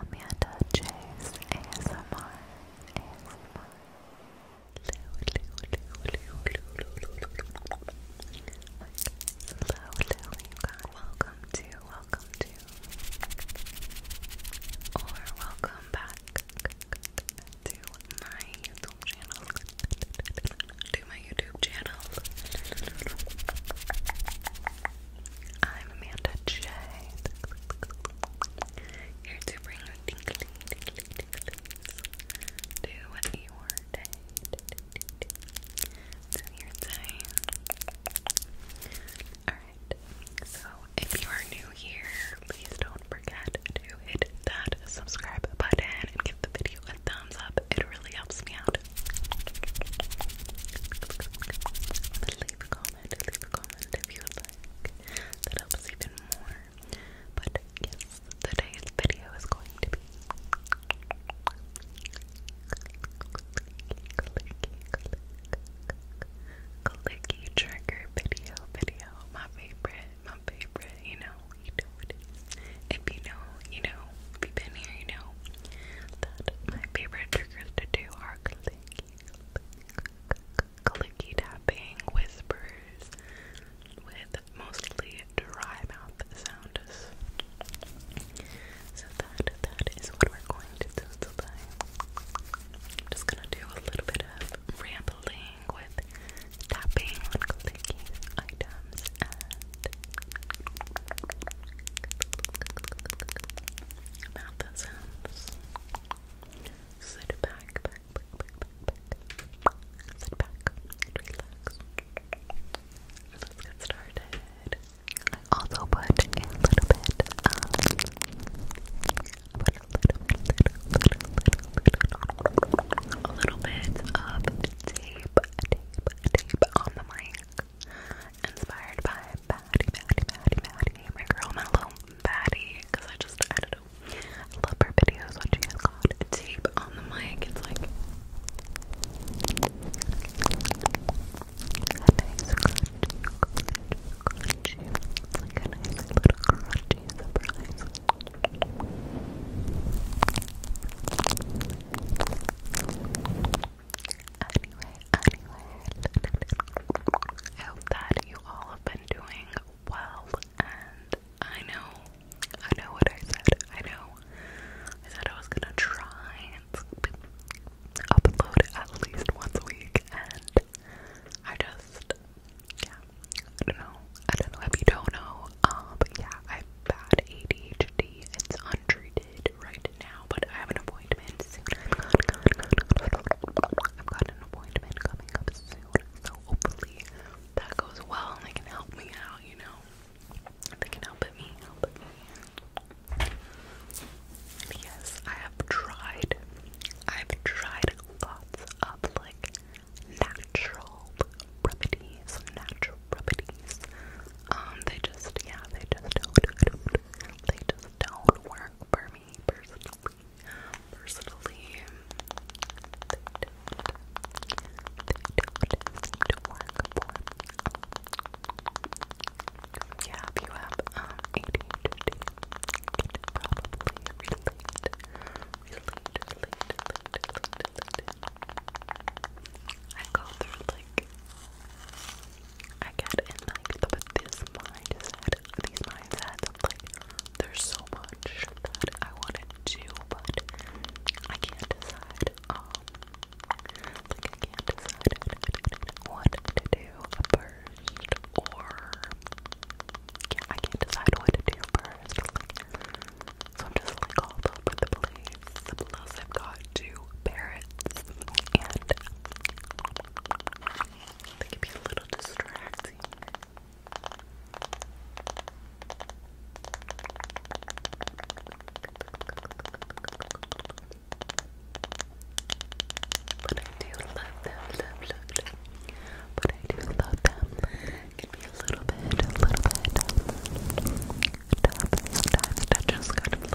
Amanda J's ASMR ASMR Lou Lou Lou Lou Lou Lou Lou Hello guys welcome to welcome to or welcome back to my YouTube channel to my YouTube channel I'm Amanda J. Here to bring you tingly, tingly, tingles to your day, your day. Alright, so if you are new here, please don't forget to hit that subscribe button and give the video a thumbs up. It really helps me out leave a comment, leave a comment if you like. That helps even more. But yes, today's video is going to be clicky trigger video video. My favorite, my favorite, you know, you know what If you know, you know, if you've been here, you know that my favorite triggers to do are clicky, tapping, whispers with mostly dry mouth sounds. So that that is what we're going to do today. I'm just gonna do a little bit of rambling with tapping clicky items about that sounds. Sit back, back, back, back, back, back. Sit back, relax. Let's get started. I also put a little bit of, put a little, little, little, little, little, little, little bit of tape, tape, tape on the mic inspired by Batty, Batty, Batty, Batty, my girl, my little Batty, because I just, I don't know, I love her videos when she has got tape on the mic, it's like, a nice crunchy, crunchy, crunchy, it's like a nice little crunchy surprise. Anyway, anyway, I hope that you all have been doing well. And I know, I know what I said. I know, I said I was gonna try and upload at least once a week, and I just, yeah, I don't know. I don't know if you don't know, um, but yeah, I've bad ADHD. It's untreated right now, but I have an appointment soon. I've got an appointment coming up soon, so hopefully that goes well and they can help me out, you know? They can help me, yes, I have tried, I've tried lots of like natural remedies, natural remedies. Um, they just, yeah, they just they just don't work for me personally. Personally, they don't. They don't work for me. Yeah, you have um, probably relate, relate, relate, I go through like I get in like but this mindset these mindsets of like there's so much that I wanna do but I can't decide um like I can't decide what to do first or yeah, I can't decide what to do first. Like, so I'm just like all over the place. Plus I've got two parrots and they can be a little distracting. But I do love them, love, love, But I do love them. can be a little bit, a little bit sometimes to just kind of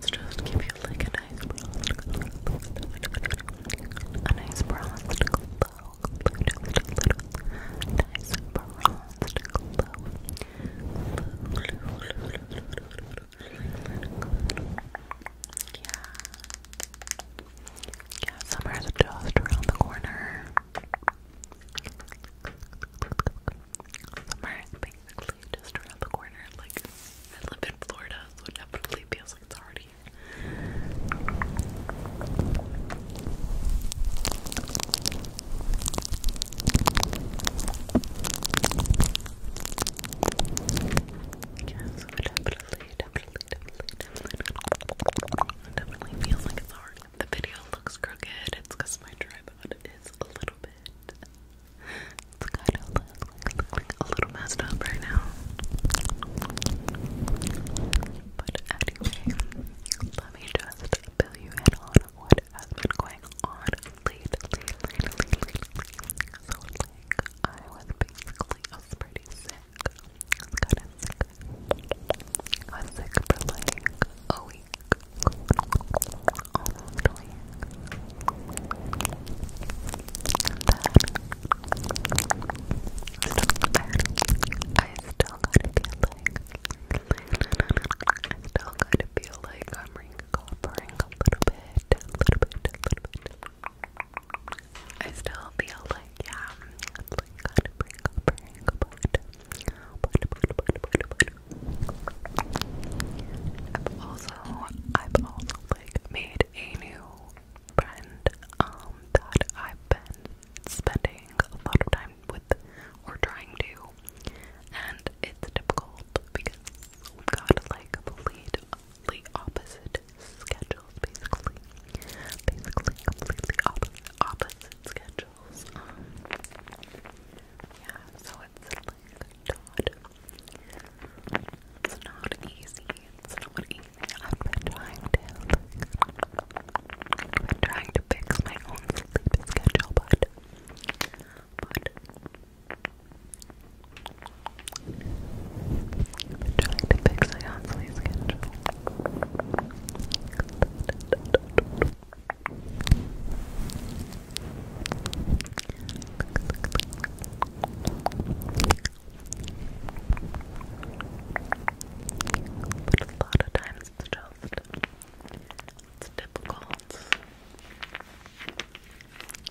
let's just give you like a nice a nice bronze glow a nice bronze glow yeah yeah, summer's just around the corner summer's basically just around the corner. Like, I live in Florida, so it definitely feels like it's already definitely, definitely, definitely, definitely, feels like it's already. The video looks crooked. It's because my tripod is a little bit it's kind of like, a little messed up right now. But anyway, let me just fill you in on what has been going on lately, So like, I was basically, I was pretty sick. I was kind of sick. I was sick for like a week. I still gotta feel like I still gotta feel like I'm recovering a little bit, a little bit, a little bit. I still feel like yeah, I'm like got recovering a bit. But, but, but, but, but. i also I've also like made a new friend um, that I've been spending a lot of time with or trying to, and it's difficult because we've got like completely opposite schedules, basically. Basically, completely opposite, schedules. Um, yeah, so it's it's not easy. It's not easy. I've been trying to. I've been trying to fix my own sleep schedule, but I've been trying to fix my own sleep schedule. But a lot of times it's just it's difficult.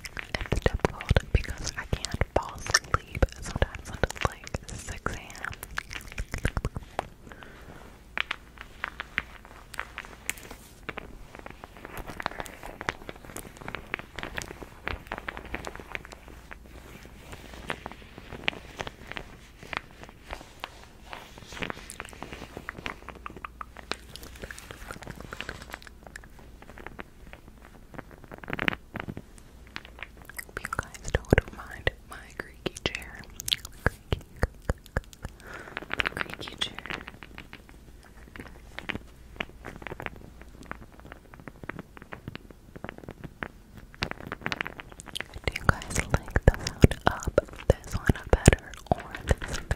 It's difficult because I can't fall asleep sometimes until like 6 a.m. Hope you guys don't mind my creaky chair. creaky chair. Do you guys like the sound of this one better or this one?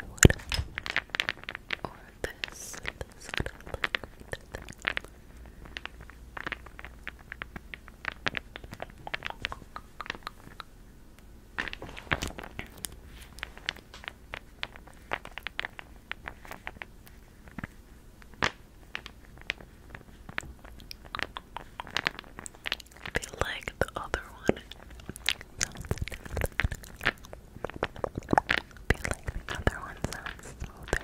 I feel like the other one feel like the other one sounds smoother.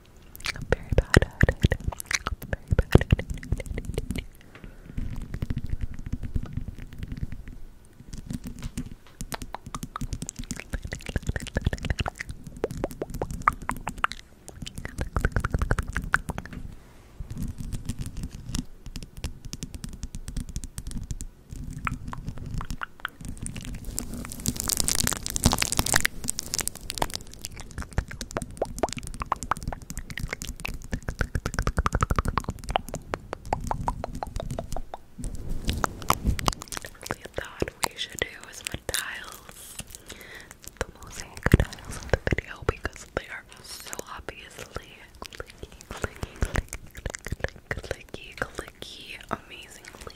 I'm very bad at it. I'm very bad at it. We thought we should do some tiles, the mosaic tiles of the video because they are so obviously clicky, clicky, clicky, clicky amazingly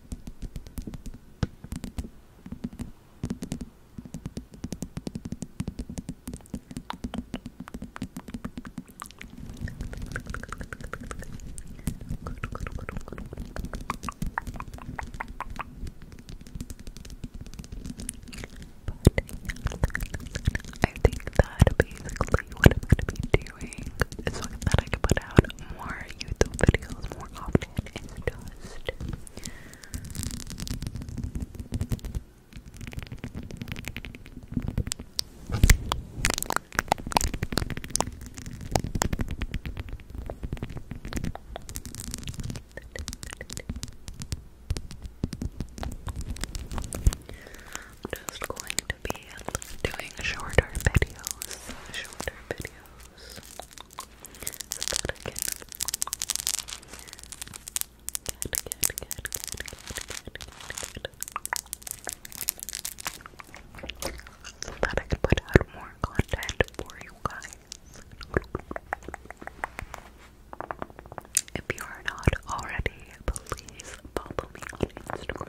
I think that basically what I'm going to be so that I can put out more YouTube videos more often is just I'm just going to be doing shorter videos, shorter videos, so that I can put out more content for you guys. If you are not already, please follow me on Instagram.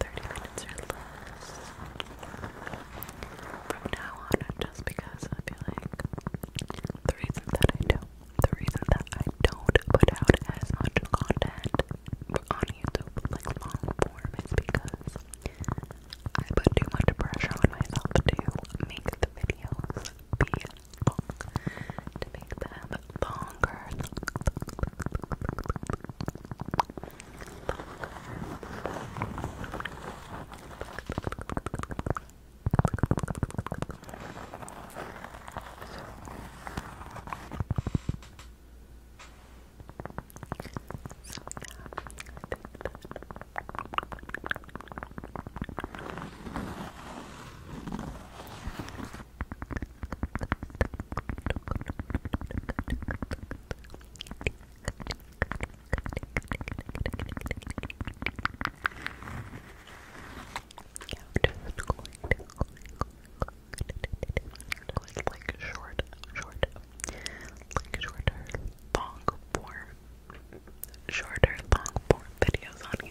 30 minutes or less from now on, just because I feel like the reason that I don't, the reason that I don't put out as much content on YouTube, like long form, is because I put too much pressure on myself to make the videos be to make them bit longer. So, yeah, like short, short, like shorter, long form, shorter, long form videos on YouTube.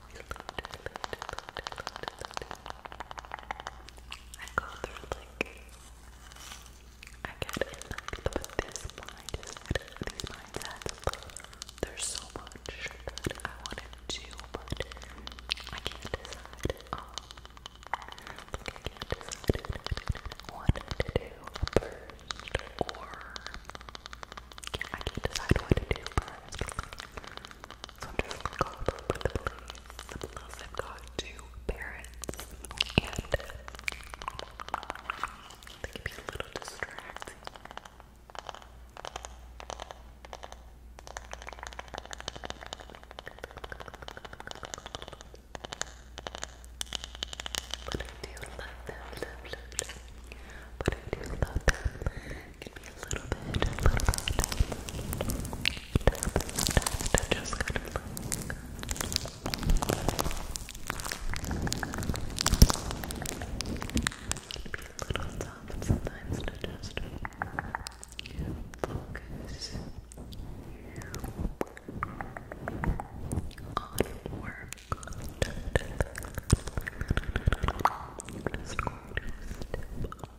I go through like I get in like but this mind there's so much I want to do but can't decide um, I can't decide what to do first or I can't decide what to do first so I'm just grateful for the blessings. Plus, I've got two parents, and they can be a little distracting. But I do love them, But I do love them. It can be a little bit, a little bit. Just kind of like. It can be a little soft sometimes to just focus on work.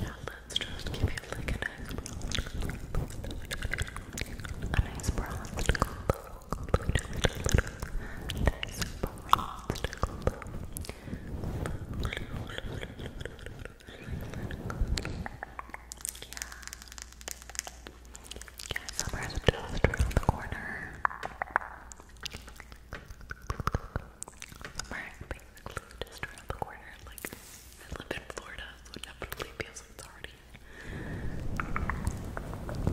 Yeah, let's just give you like a nice, a nice bronzed glow. Nice bronzed glow. Yeah. Yeah, around the corner. Summer basically just around the corner. Like, I live in Florida, so definitely feels like it's already. definitely,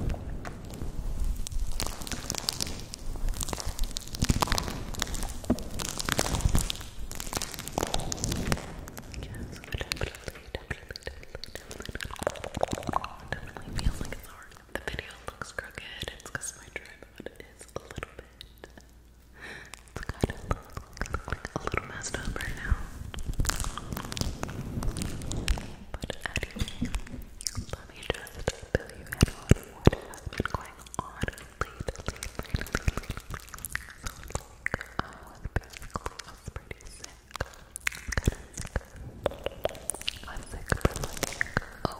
feels like it's already. The video looks crooked. It's my tripod is a little bit bit. It's a little, messed up right now. But let me just fill you what has been going on lately, lately, lately. So pretty sick. I was sick for like, oh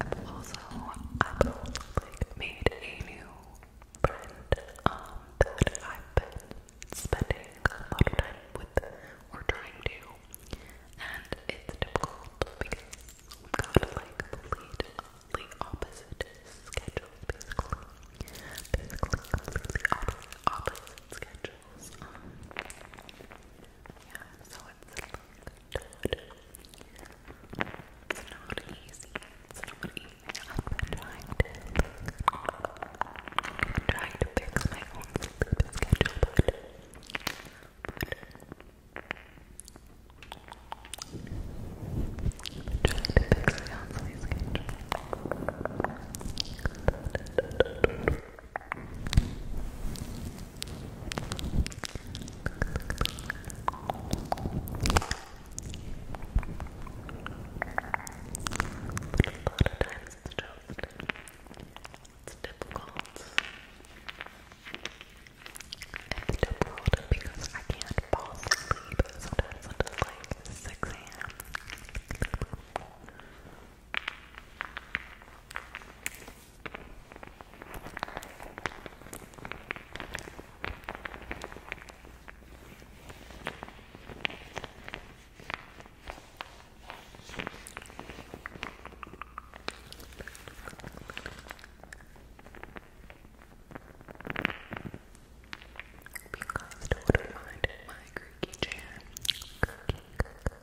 I've also i like made a new friend um that I've been spending a lot of time with or trying to and it's difficult because we've got like completely opposite schedules basically. Basically completely opposite schedules. Um, yeah, so it's good. It's not easy. It's not easy. I've been trying to trying to fix my own sleep schedule, but, trying to fix my own sleep schedule lot of times it's just, it's difficult. It's difficult because I can't fall asleep sometimes until like 6 a.m. Hope you guys don't mind my creaky chair. Creaky, creaky,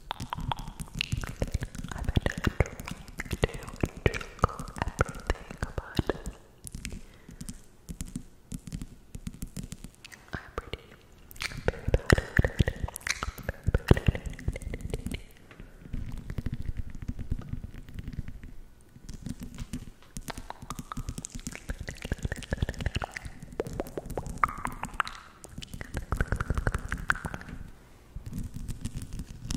I've been trying to trickle everything I'm pretty, very bad at it. Very bad at it thought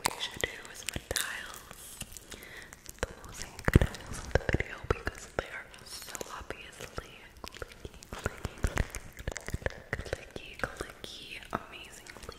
we should do some tiles. The most tiles of the video because they are so obviously clicky, clicky, clicky, clicky, amazingly.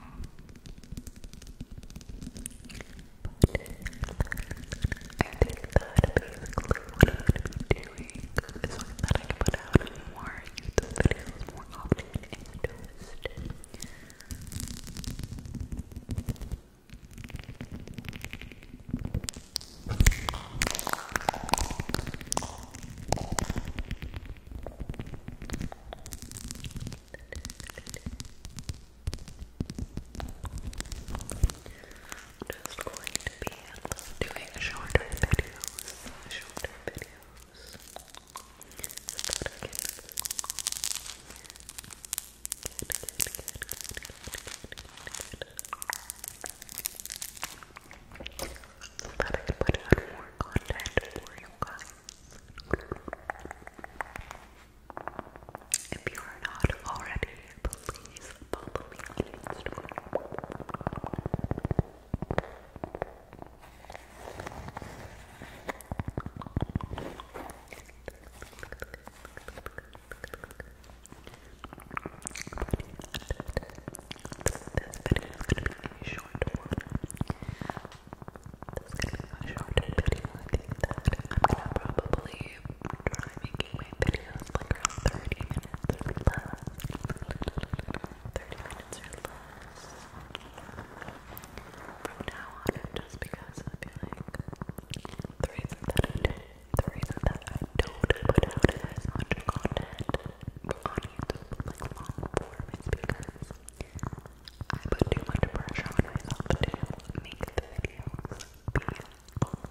I think that basically what I'm doing is that I can put out more YouTube more often and just going to be doing shorter videos, shorter videos. Just gotta get, get, get, get, get, get, get, get so that I can put out more content for you guys. If you are not already, please follow me on Instagram. But this video is going to be short This is going to be a short video. I think that I'm going to probably try making my videos like 30 minutes or less. 30 minutes or less. From now on, just because like the reason that I do, put out as content on YouTube, like long form, is because I put too much pressure on myself to make the videos longer.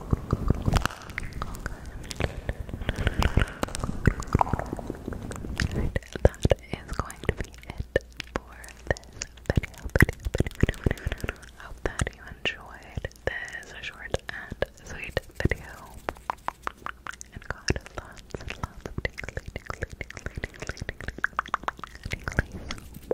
Alright, that is going to be it for this video, Hope that you enjoyed this short and sweet video.